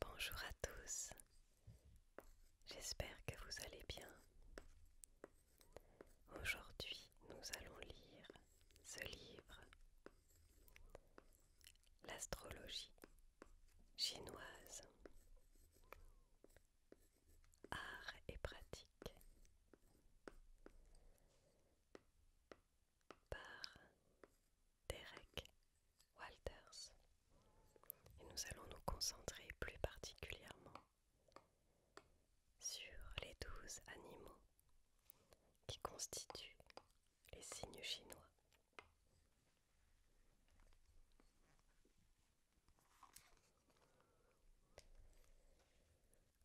Bonjour à tous, j'espère que vous allez bien. Aujourd'hui, nous allons lire ce livre, L'astrologie chinoise, art et pratique par Derek Walters. Et nous allons nous concentrer plus particulièrement sur les douze animaux qui constituent les signes chinois.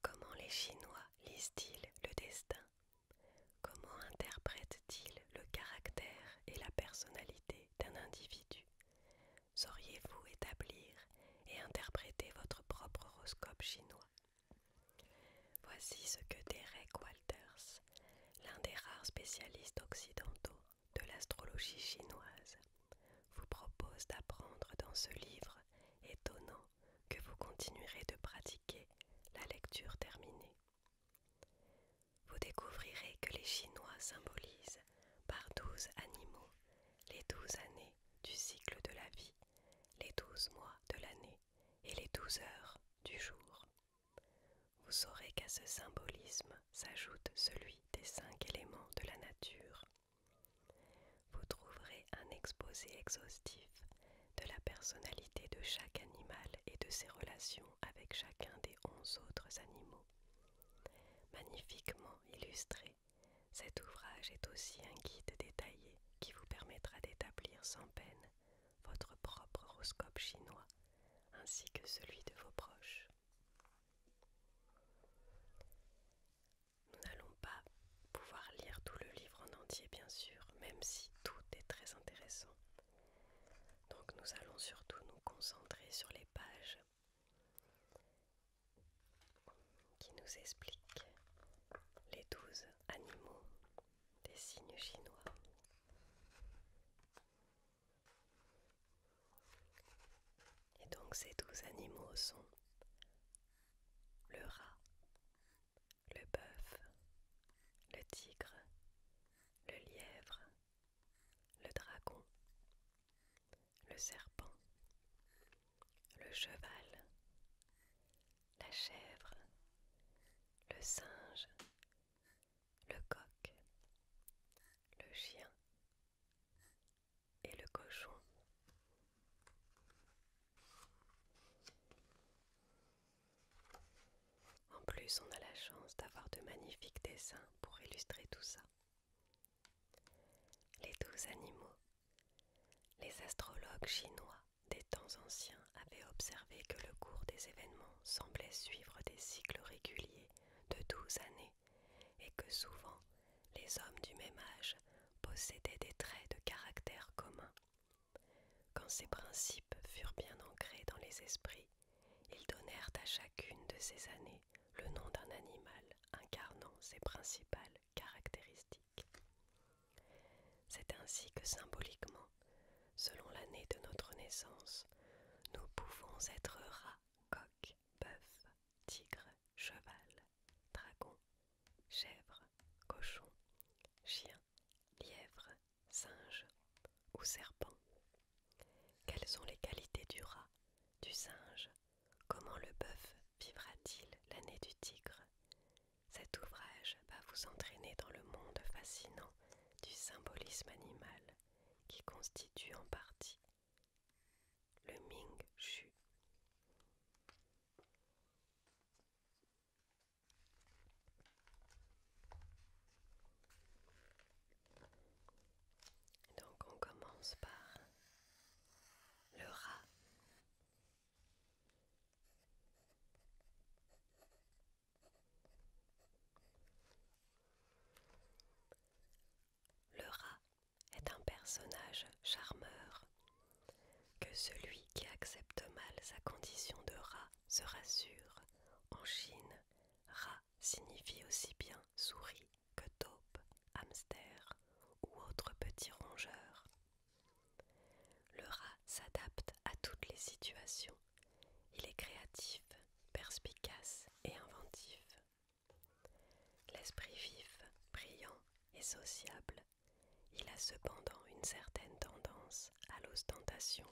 Comment les Chinois lisent-ils le destin Comment interprète-t-il le caractère et la personnalité d'un individu Sauriez-vous établir et interpréter votre propre horoscope chinois Voici ce que Derek Walters, l'un des rares spécialistes occidentaux de l'astrologie chinoise, vous propose d'apprendre dans ce livre étonnant que vous continuerez de pratiquer la lecture terminée. Vous découvrirez que les Chinois symbolisent par douze animaux les douze années du cycle de la vie, les douze mois de l'année et les douze heures du jour. Vous saurez qu'à ce symbolisme s'ajoute celui des cinq éléments de la nature. Vous trouverez un exposé exhaustif de la personnalité de chaque animal et de ses relations avec chacun des onze autres animaux. Magnifiquement illustré, cet ouvrage est aussi un guide détaillé qui vous permettra d'établir sans peine votre propre horoscope chinois ainsi que celui de vos proches. Nous n'allons pas pouvoir lire tout le livre en entier bien sûr, même si tout est très intéressant. Donc nous allons surtout nous concentrer sur les pages qui nous expliquent les douze animaux des signes chinois. Et donc ces douze animaux sont le rat, le bœuf, le tigre, le lièvre, le dragon, le serpent, le cheval, la chèvre, le singe, le coq, le chien et le cochon. En plus, on a la chance d'avoir de magnifiques dessins pour illustrer tout ça. Les douze animaux. Les astrologues chinois des temps anciens avaient observé que le cours des événements semblait suivre des cycles réguliers de douze années et que souvent les hommes du même âge possédaient des traits de caractère communs quand ces principes furent bien ancrés dans les esprits, ils donnèrent à chacune de ces années le nom d'un animal incarnant ses principales caractéristiques. C'est ainsi que symboliquement, selon l'année de notre naissance, nous pouvons être rats, coq, bœuf, tigre, cheval, dragon, chèvre, cochon, chien, lièvre, singe ou serpent Quelles sont les qualités du rat, du singe Comment le bœuf vivra-t-il l'année du tigre Cet ouvrage va vous entraîner dans le monde fascinant du symbolisme animal qui constitue en partie le Ming Shu. Donc on commence par le rat. Le rat est un personnage charmeur que celui qui accepte mal sa condition de rat se rassure. En Chine, rat signifie aussi bien souris que taupe, hamster ou autres petits rongeurs. Le rat s'adapte à toutes les situations. Il est créatif, perspicace et inventif. L'esprit vif, brillant et sociable, il a cependant une certaine tendance à l'ostentation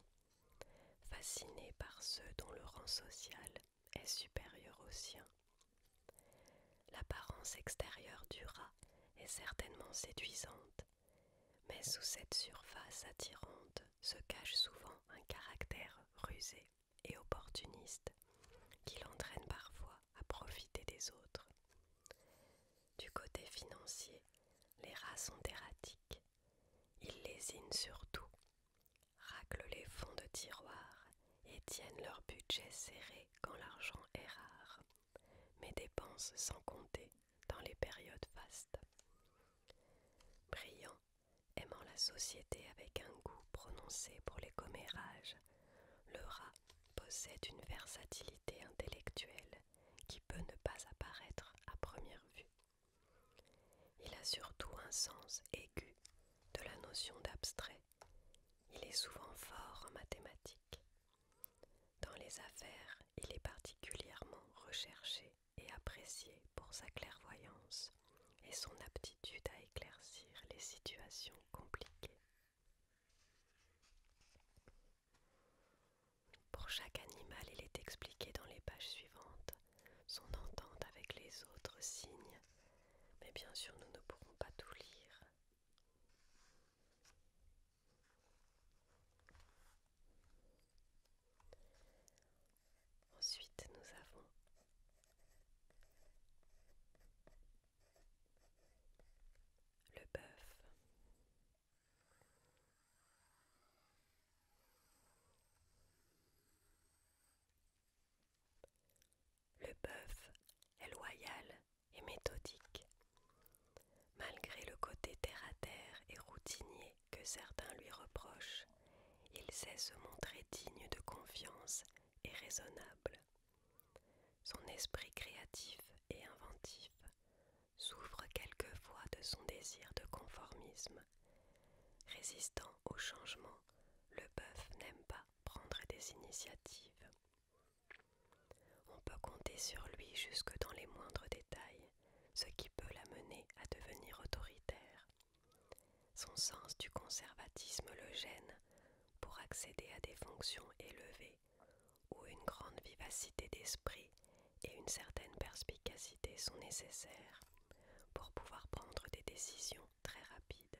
fasciné par ceux dont le rang social est supérieur au sien. L'apparence extérieure du rat est certainement séduisante, mais sous cette surface attirante se cache souvent un caractère rusé et opportuniste qui l'entraîne parfois à profiter des autres. Du côté financier, les rats sont erratiques, ils lésinent surtout, tout, raclent les fonds de tiroirs et tiennent leur budget serré quand l'argent est rare, mais dépensent sans compter dans les périodes vastes. Brillant, aimant la société avec un goût prononcé pour les commérages, le rat possède une versatilité intellectuelle qui peut ne pas apparaître à première vue. Il a surtout un sens aigu de la notion d'abstrait. Il est souvent fort en mathématiques. Dans les affaires, il est particulièrement recherché et apprécié pour sa clairvoyance et son aptitude à éclaircir les situations compliquées. Pour chaque animal, il est expliqué dans les pages suivantes son entente avec les autres signes, mais bien sûr nous ne pourrons pas tout lire. Ensuite, nous avons le bœuf, le bœuf est loyal et méthodique. Malgré le côté terre-à-terre et routinier que certains lui reprochent, il sait se montrer digne de confiance et raisonnable. Son esprit créatif et inventif souffre quelquefois de son désir de conformisme. Résistant au changement, le bœuf n'aime pas prendre des initiatives. On peut compter sur lui jusque dans les moindres détails, ce qui peut l'amener à devenir autoritaire. Son sens du conservatisme le gêne pour accéder à des fonctions élevées ou une grande vivacité d'esprit et une certaine perspicacité sont nécessaires pour pouvoir prendre des décisions très rapides.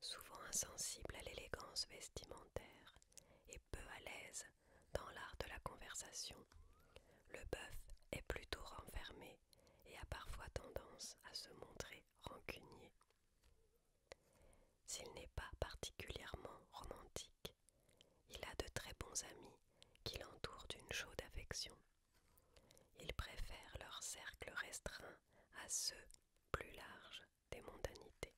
Souvent insensible à l'élégance vestimentaire et peu à l'aise dans l'art de la conversation, le bœuf est plutôt renfermé et a parfois tendance à se montrer rancunier. S'il n'est pas particulièrement romantique, il a de très bons amis qui l'entourent d'une chaude affection. Il préfère leur cercle restreint à ceux plus larges des mondanités.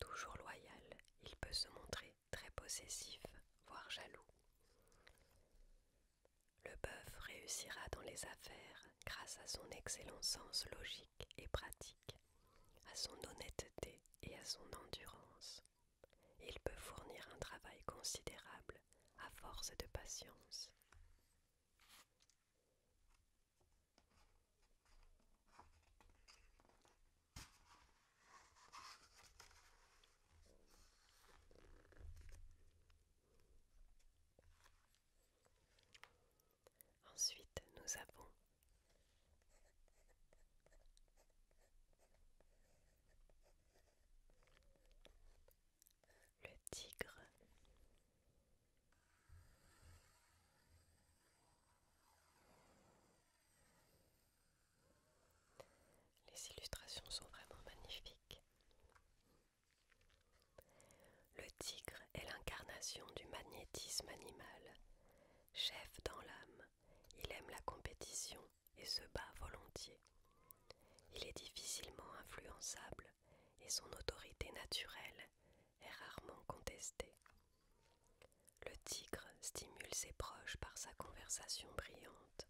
Toujours loyal, il peut se montrer très possessif, voire jaloux. Le bœuf réussira dans les affaires grâce à son excellent sens logique et pratique, à son honnêteté et à son endurance. Il peut fournir un travail considérable à force de patience. Ensuite, nous avons le tigre. Les illustrations sont vraiment magnifiques. Le tigre est l'incarnation du magnétisme animal, chef dans l'âme il aime la compétition et se bat volontiers. Il est difficilement influençable et son autorité naturelle est rarement contestée. Le tigre stimule ses proches par sa conversation brillante,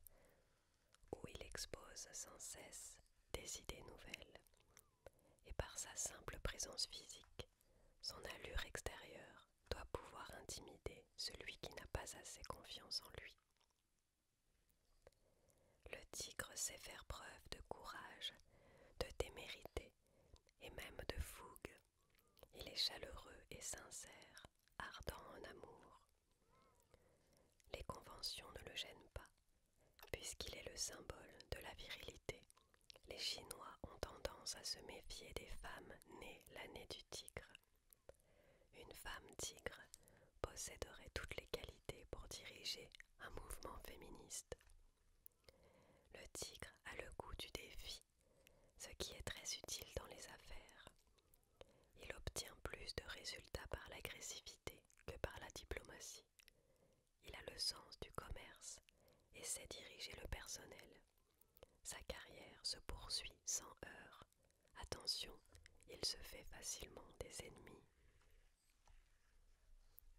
où il expose sans cesse des idées nouvelles, et par sa simple présence physique, son allure extérieure doit pouvoir intimider celui qui n'a pas assez confiance en lui. Le tigre sait faire preuve de courage, de témérité et même de fougue. Il est chaleureux et sincère, ardent en amour. Les conventions ne le gênent pas, puisqu'il est le symbole de la virilité. Les Chinois ont tendance à se méfier des femmes nées l'année du tigre. Une femme tigre posséderait toutes les qualités pour diriger un mouvement féministe. Le tigre a le goût du défi, ce qui est très utile dans les affaires. Il obtient plus de résultats par l'agressivité que par la diplomatie. Il a le sens du commerce et sait diriger le personnel. Sa carrière se poursuit sans heurts. Attention, il se fait facilement des ennemis.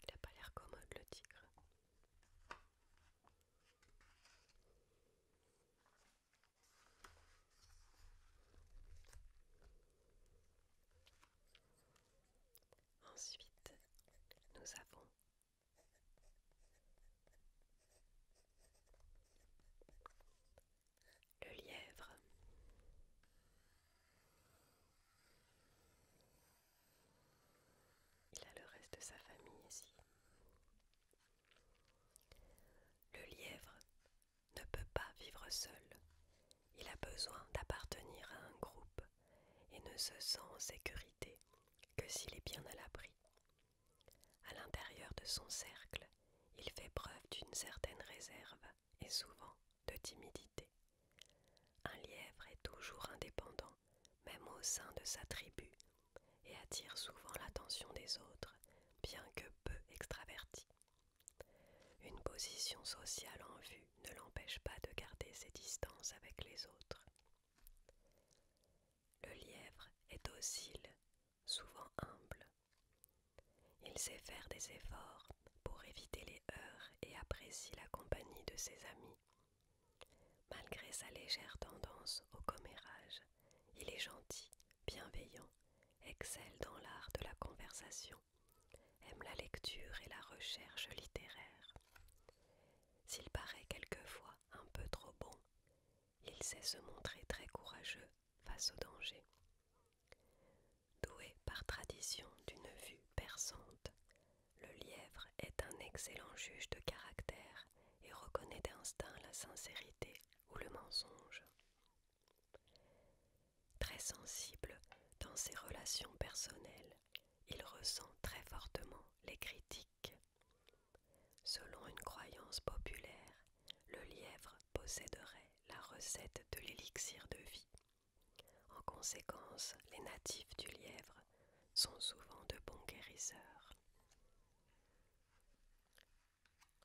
Il n'a pas l'air commode le tigre. Ensuite, nous avons le lièvre. Il a le reste de sa famille ici. Le lièvre ne peut pas vivre seul. Il a besoin d'appartenir à un groupe et ne se sent en sécurité que s'il est bien à l'abri, à l'intérieur de son cercle, il fait preuve d'une certaine réserve et souvent de timidité. Un lièvre est toujours indépendant, même au sein de sa tribu, et attire souvent l'attention des autres, bien que peu extraverti. Une position sociale en vue ne l'empêche pas de garder ses distances avec les autres. Le lièvre est docile, souvent humble. Il sait faire des efforts pour éviter les heurts et apprécie la compagnie de ses amis. Malgré sa légère tendance au commérage, il est gentil, bienveillant, excelle dans l'art de la conversation, aime la lecture et la recherche littéraire. S'il paraît quelquefois un peu trop bon, il sait se montrer très courageux face au danger. Doué par tradition d'une vue perçante, le lièvre est un excellent juge de caractère et reconnaît d'instinct la sincérité ou le mensonge. Très sensible dans ses relations personnelles, il ressent très fortement les critiques Selon une croyance populaire, le lièvre posséderait la recette de l'élixir de vie. En conséquence, les natifs du lièvre sont souvent de bons guérisseurs.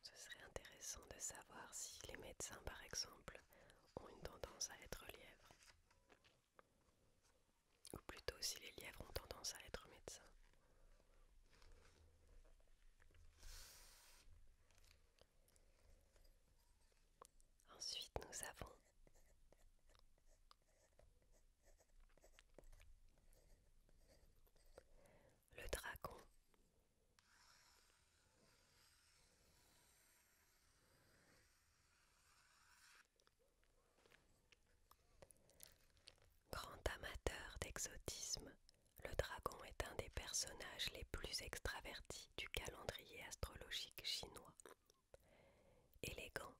Ce serait intéressant de savoir si les médecins, par exemple, ont une tendance à être lièvres ou plutôt si les lièvres ont tendance à être médecins. Ensuite, nous avons le dragon. Grand amateur d'exotisme, le dragon est un des personnages les plus extravertis du calendrier astrologique chinois. Élégant,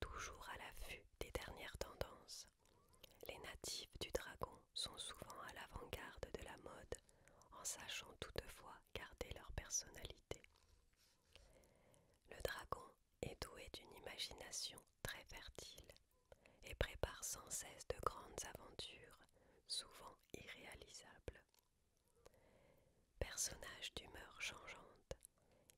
toujours à l'affût des dernières tendances, les natifs du dragon sont souvent à l'avant-garde de la mode, en sachant toutefois garder leur personnalité. Le dragon est doué d'une imagination très fertile et prépare sans cesse de grandes aventures, souvent irréalisables. Personnage d'humeur changeante,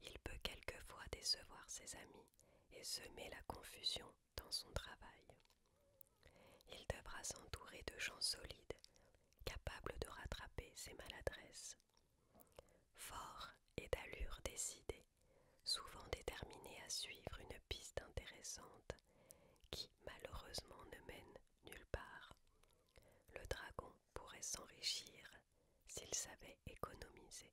il peut quelquefois décevoir ses amis et semer la confusion dans son travail. Il devra s'entourer de gens solides, capables de rattraper ses maladresses. Fort et d'allure décidée, souvent déterminé à suivre une piste intéressante qui malheureusement ne mène nulle part. Le dragon pourrait s'enrichir s'il savait économiser.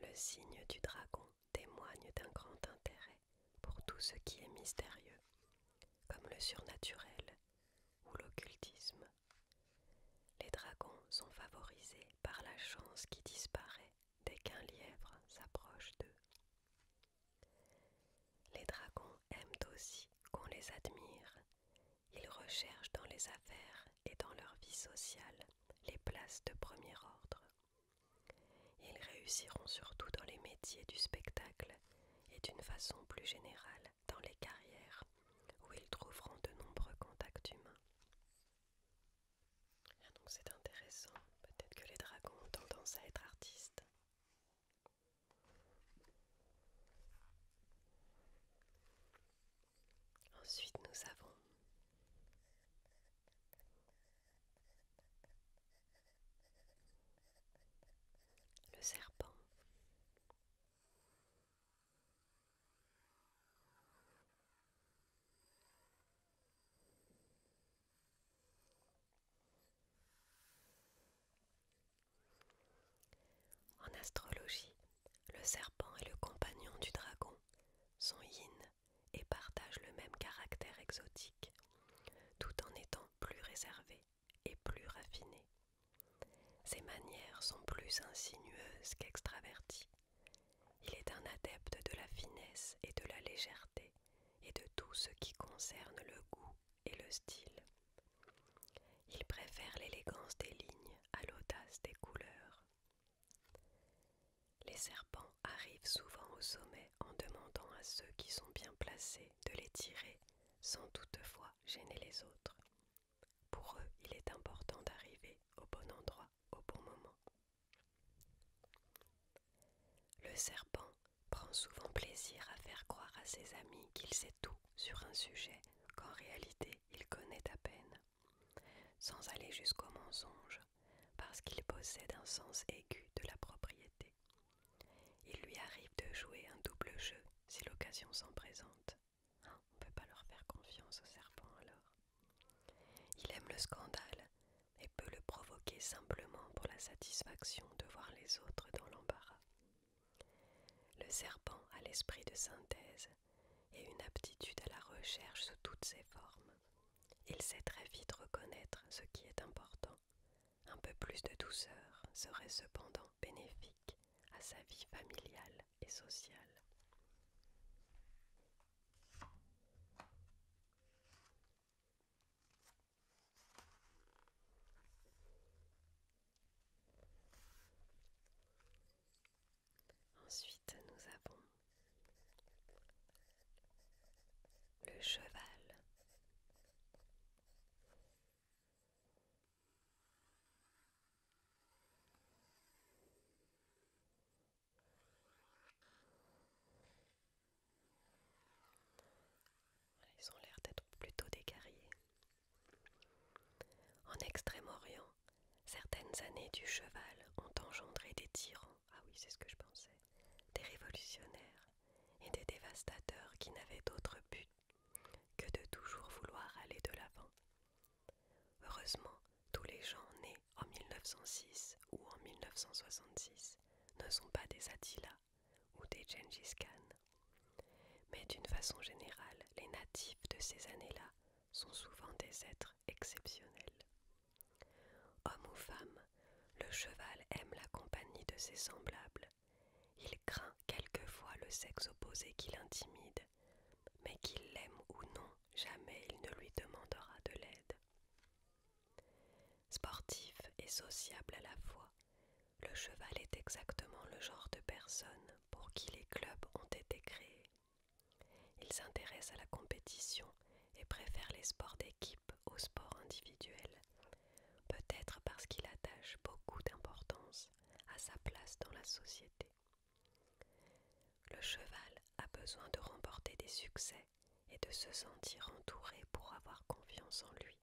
Le signe du dragon témoigne d'un grand intérêt pour tout ce qui est mystérieux, comme le surnaturel ou l'occultisme. Les dragons sont favorisés par la chance qui disparaît dès qu'un lièvre s'approche d'eux. Les dragons aiment aussi qu'on les admire. Ils recherchent dans les affaires et dans leur vie sociale les places de premier ordre. Ils réussiront surtout dans les métiers du spectacle et d'une façon plus générale dans les carrières où ils trouveront de nombreux contacts humains. Ah, donc c'est intéressant, peut-être que les dragons ont tendance à être artistes. Ensuite, nous avons le serpent. En astrologie, le serpent et le compagnon du dragon, sont yin, et partagent le même caractère exotique, tout en étant plus réservés et plus raffinés. Ses manières sont plus insinueuses qu'extraverties. Il est un adepte de la finesse et de la légèreté et de tout ce qui concerne le goût et le style. Il préfère l'élégance des lignes à l'audace des couleurs. Les serpents arrivent souvent au sommet en demandant à ceux qui sont bien placés de les tirer sans toutefois gêner les autres. Pour eux, il est important d'arriver au bon endroit au bon moment. Le serpent prend souvent plaisir à faire croire à ses amis qu'il sait tout sur un sujet qu'en réalité il connaît à peine, sans aller jusqu'au mensonge, parce qu'il possède un sens aigu de la propriété. Il lui arrive de jouer un double jeu si l'occasion s'en présente. On ne peut pas leur faire confiance au serpent alors. Il aime le scandale et peut le provoquer simplement pour la satisfaction de voir les autres dans l'embarras. Le serpent a l'esprit de synthèse et une aptitude à la recherche sous toutes ses formes. Il sait très vite reconnaître ce qui est important. Un peu plus de douceur serait cependant bénéfique à sa vie familiale et Ensuite, nous avons le cheval. Ils ont l'air d'être plutôt des guerriers. En Extrême-Orient, certaines années du cheval ont engendré des tyrans, ah oui c'est ce que je pensais, des révolutionnaires et des dévastateurs qui n'avaient d'autre but que de toujours vouloir aller de l'avant Heureusement, tous les gens nés en 1906 ou en 1966 ne sont pas des Attila ou des Genghis Khan. Mais d'une façon générale, les natifs de ces années-là sont souvent des êtres exceptionnels. Homme ou femme, le cheval aime la compagnie de ses semblables. Il craint quelquefois le sexe opposé qui l'intimide mais qu'il l'aime ou non, jamais il ne lui demandera de l'aide. Sportif et sociable à la fois, le cheval est exactement le genre de personne pour qui les clubs ont été créés. Il s'intéresse à la compétition et préfère les sports d'équipe aux sports individuels, peut-être parce qu'il attache beaucoup d'importance à sa place dans la société. Le cheval a besoin de remporter des succès et de se sentir entouré pour avoir confiance en lui.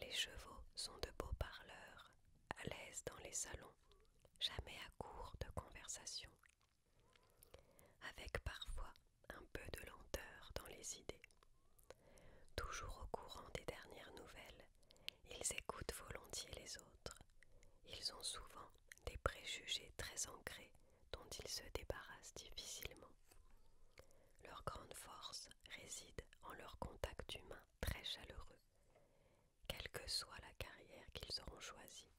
Les chevaux sont de beaux parleurs, à l'aise dans les salons, jamais à court de conversation, avec parfois un peu de lenteur dans les idées, toujours au courant des dernières nouvelles ils écoutent volontiers les autres. Ils ont souvent des préjugés très ancrés dont ils se débarrassent difficilement. Leur grande force réside en leur contact humain très chaleureux. Quelle que soit la carrière qu'ils auront choisie,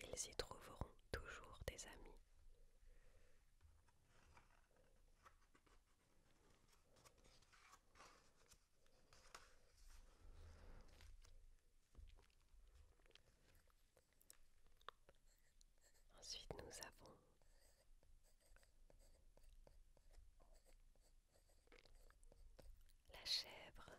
ils y trouveront toujours des amis. Ensuite, nous avons la chèvre.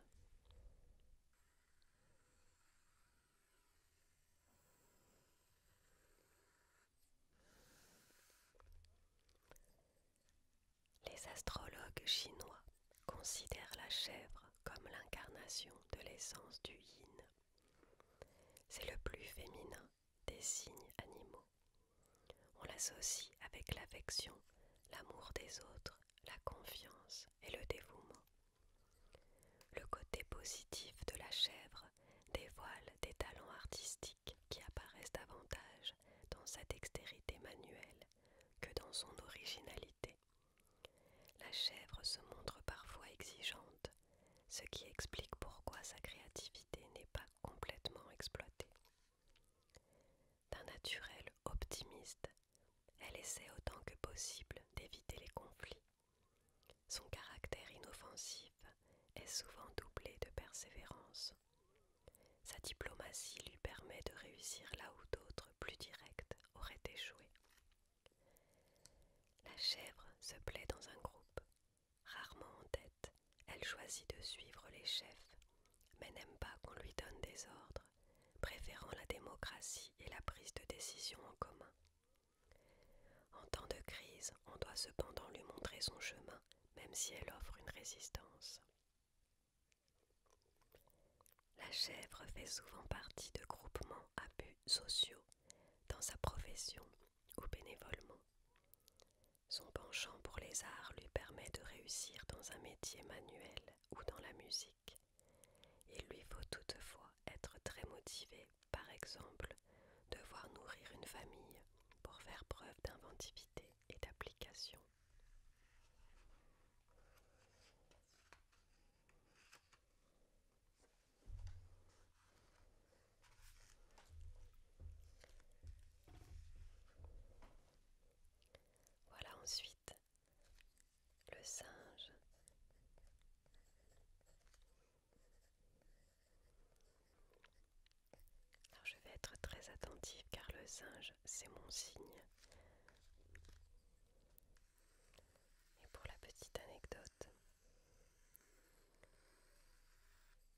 Les astrologues chinois considèrent la chèvre comme l'incarnation de l'essence du yin. C'est le plus féminin des signes animaux. On l'associe avec l'affection, l'amour des autres, la confiance et le dévouement. Le côté positif de la chèvre dévoile des talents artistiques qui apparaissent davantage dans sa dextérité manuelle que dans son originalité. La chèvre se montre parfois exigeante, ce qui explique pourquoi sa créativité n'est pas complètement exploitée. D'un naturel optimiste, elle essaie autant que possible d'éviter les conflits. Son caractère inoffensif est souvent doublé de persévérance. Sa diplomatie lui permet de réussir là où d'autres plus directes auraient échoué. La chèvre se plaît dans un groupe. Rarement en tête, elle choisit de suivre les chefs, mais n'aime pas qu'on lui donne des ordres, préférant la démocratie et la prise de décision en commun. En temps de crise, on doit cependant lui montrer son chemin, même si elle offre une résistance. La chèvre fait souvent partie de groupements à buts sociaux dans sa profession ou bénévolement. Son penchant pour les arts lui permet de réussir dans un métier manuel ou dans la musique. Il lui faut toutefois être très motivé, par exemple, devoir nourrir une famille pour faire preuve d'inventivité et d'application. Voilà ensuite le singe. Alors je vais être très attentive car le singe, c'est mon signe. Et pour la petite anecdote,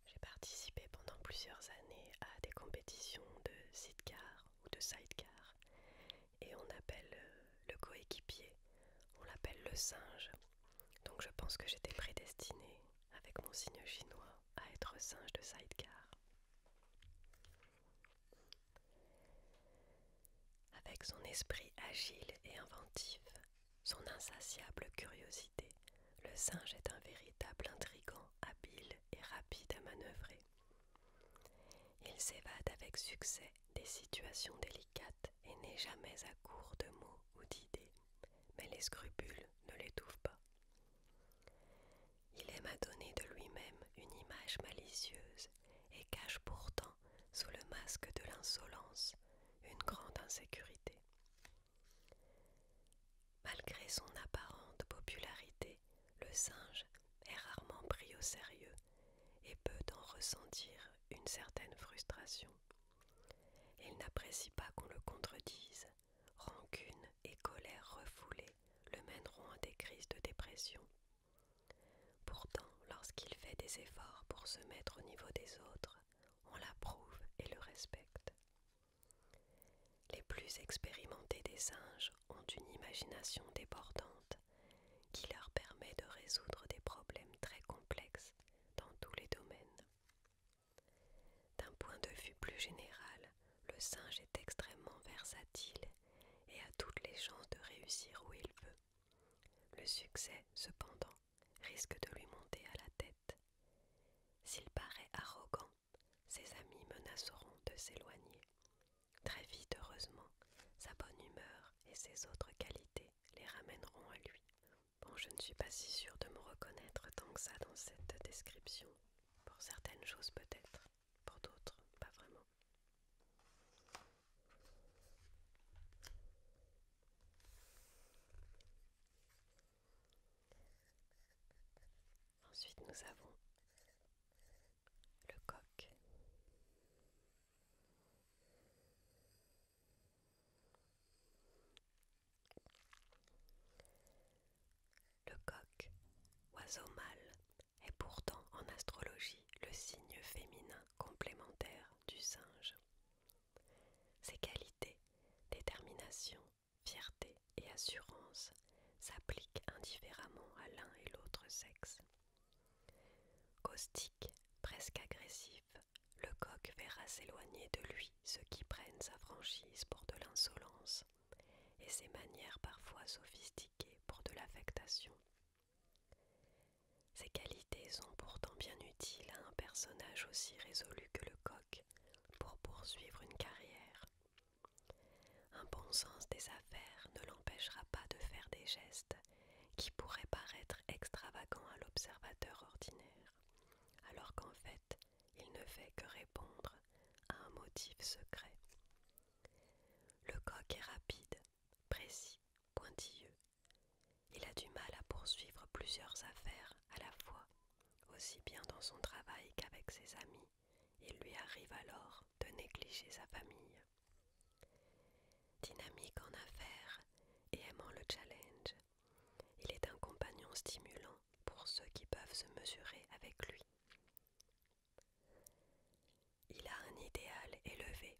j'ai participé pendant plusieurs années à des compétitions de sidecar ou de sidecar. Et on appelle euh, le coéquipier, on l'appelle le singe. Donc je pense que j'étais prédestinée avec mon signe chinois à être singe de sidecar. Avec son esprit agile et inventif, son insatiable curiosité, le singe est un véritable intrigant, habile et rapide à manœuvrer. Il s'évade avec succès des situations délicates et n'est jamais à court de mots ou d'idées, mais les scrupules ne l'étouffent pas. Il aime à donner de lui-même une image malicieuse et cache pourtant, sous le masque de l'insolence, une grande insécurité. Malgré son apparente popularité, le singe est rarement pris au sérieux et peut en ressentir une certaine frustration. Il n'apprécie pas qu'on le contredise rancune et colère refoulées le mèneront à des crises de dépression. Pourtant, lorsqu'il fait des efforts pour se mettre au niveau des autres, on l'approuve et le respecte. Les plus expérimentés des singes ont une imagination débordante qui leur permet de résoudre des problèmes très complexes dans tous les domaines. D'un point de vue plus général, le singe est extrêmement versatile et a toutes les chances de réussir où il veut. Le succès, cependant, risque de lui monter à la tête. S'il paraît arrogant, ses amis menaceront de s'éloigner. Très vite, heureusement, sa bonne humeur et ses autres qualités les ramèneront à lui. Bon, je ne suis pas si sûre de me reconnaître tant que ça dans cette description. Pour certaines choses peut-être, pour d'autres pas vraiment. Ensuite nous avons le coq. Le coq, oiseau mâle, est pourtant en astrologie le signe féminin complémentaire du singe. Ses qualités, détermination, fierté et assurance s'appliquent indifféremment à l'un et l'autre sexe. Caustique, presque agressif, le coq verra s'éloigner de lui ceux qui prennent sa franchise pour de l'insolence et ses manières parfois sophistiquées pour de l'affectation. Ces qualités sont pourtant bien utiles à un personnage aussi résolu que le coq pour poursuivre une carrière. Un bon sens des affaires ne l'empêchera pas de faire des gestes qui pourraient paraître extravagants à l'observateur ordinaire, alors qu'en fait il ne fait que répondre à un motif secret. Le coq est rapide, précis, pointilleux. Il a du mal à poursuivre plusieurs affaires à la fois, aussi bien dans son travail qu'avec ses amis. Il lui arrive alors de négliger sa famille. Dynamique en affaires et aimant le challenge, il est un compagnon stimulant pour ceux qui peuvent se mesurer avec lui. Il a un idéal élevé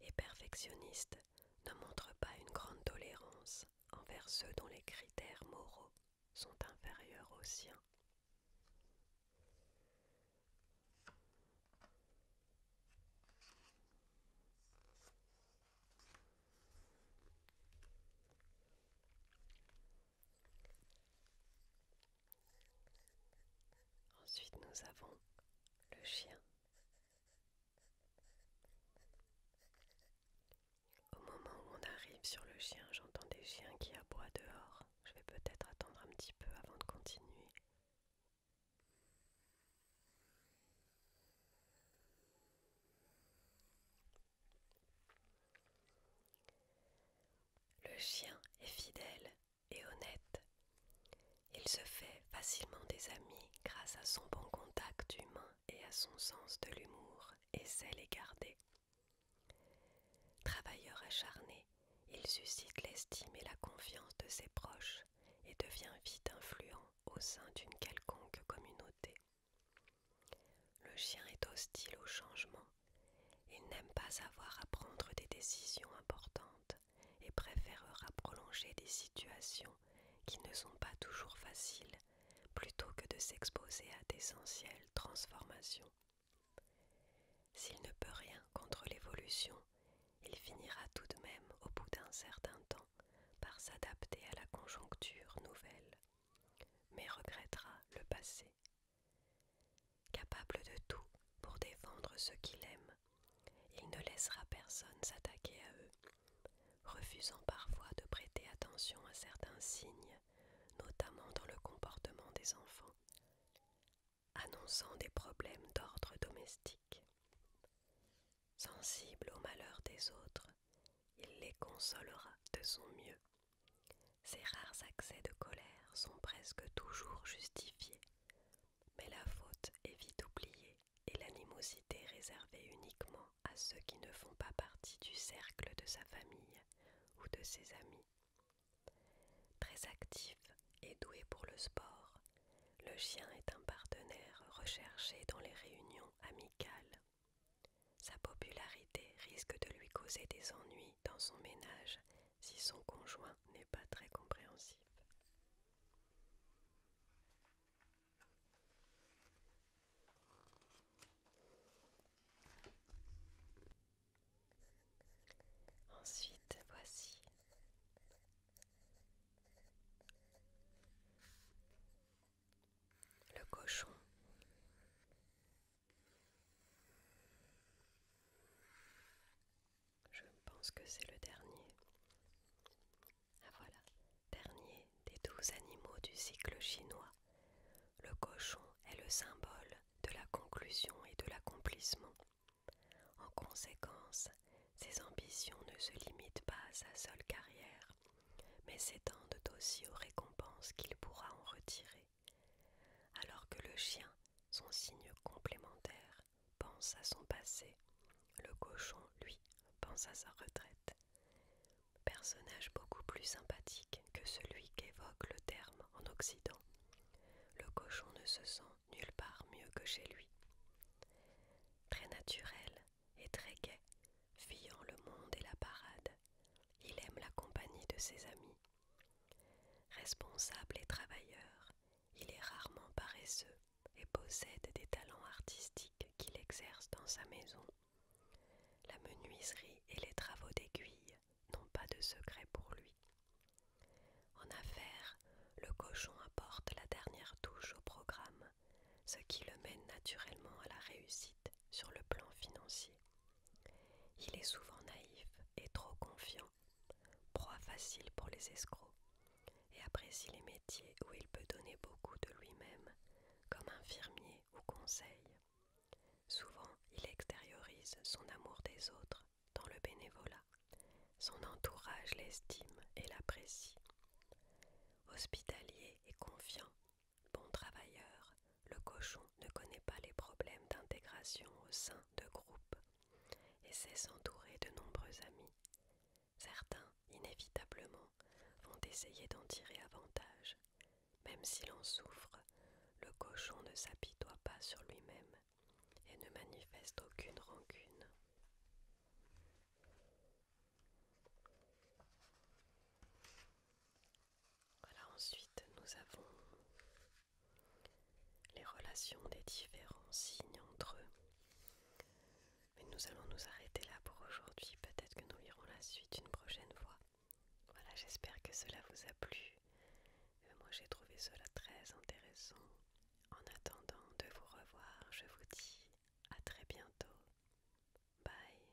et perfectionniste ne montre pas une grande tolérance envers ceux dont les critères moraux sont inférieurs aux siens. Ensuite, nous avons le chien. Au moment où on arrive sur le chien, j'entends des chiens qui aboient dehors. Je vais peut-être attendre un petit peu avant de continuer. Le chien est fidèle et honnête. Il se fait facilement des amis grâce à son bon contact humain et à son sens de l'humour et sait les garder. Travailleur acharné, il suscite l'estime et la confiance de ses proches et devient vite influent au sein d'une quelconque communauté. Le chien est hostile au changement. Il n'aime pas avoir à prendre des décisions importantes et préférera prolonger des situations qui ne sont pas toujours faciles plutôt que de s'exposer à d'essentielles transformations. S'il ne peut rien contre l'évolution, il finira tout de même au bout d'un certain temps par s'adapter à la conjoncture nouvelle, mais regrettera le passé. Capable de tout pour défendre ceux qu'il aime, il ne laissera personne s'attaquer à eux, refusant parfois de prêter attention à certains signes, notamment dans le comportement des enfants, annonçant des problèmes d'ordre domestique. Sensible au malheur des autres, il les consolera de son mieux ses rares accès de colère sont presque toujours justifiés, mais la faute est vite oubliée et l'animosité réservée uniquement à ceux qui ne font pas partie du cercle de sa famille ou de ses amis. Très actif et doué pour le sport, le chien est un partenaire recherché dans les réunions amicales sa popularité risque de lui causer des ennuis dans son ménage si son conjoint n'est pas très compréhensif. Ensuite, voici le cochon. Je pense que c'est le dernier. Ah voilà, dernier des douze animaux du cycle chinois. Le cochon est le symbole de la conclusion et de l'accomplissement. En conséquence, ses ambitions ne se limitent pas à sa seule carrière, mais s'étendent aussi aux récompenses qu'il pourra en retirer. Alors que le chien, son signe complémentaire, pense à son passé, le cochon, lui, pense à sa retraite. Personnage beaucoup plus sympathique que celui qu'évoque le terme en Occident. Le cochon ne se sent nulle part mieux que chez lui. Très naturel et très gai, fuyant le monde et la parade, il aime la compagnie de ses amis. Responsable et travailleur, il est rarement paresseux et possède des talents artistiques qu'il exerce dans sa maison. La menuiserie et les travaux d'aiguille n'ont pas de secret pour lui. En affaires, le cochon apporte la dernière touche au programme, ce qui le mène naturellement à la réussite sur le plan financier. Il est souvent naïf et trop confiant, proie facile pour les escrocs, et apprécie les métiers où il peut donner beaucoup de lui-même, comme infirmier ou conseil. Souvent, il extériorise son amour des autres dans le bénévolat. Son entourage l'estime et l'apprécie. Hospitalier et confiant, Bon travailleur, le cochon ne connaît pas les problèmes d'intégration au sein de groupes et sait s'entourer de nombreux amis. Certains, inévitablement, vont essayer d'en tirer avantage. Même s'il en souffre, le cochon ne s'apitoie pas sur lui-même et ne manifeste aucune rancune. Voilà, ensuite nous avons les relations des différents signes entre eux. Mais nous allons nous arrêter là pour aujourd'hui. Peut-être que nous irons la suite une prochaine fois. Voilà, j'espère que cela vous a plu. Euh, moi, j'ai trouvé cela très intéressant. En attendant de vous revoir, je vous dis à très bientôt. Bye.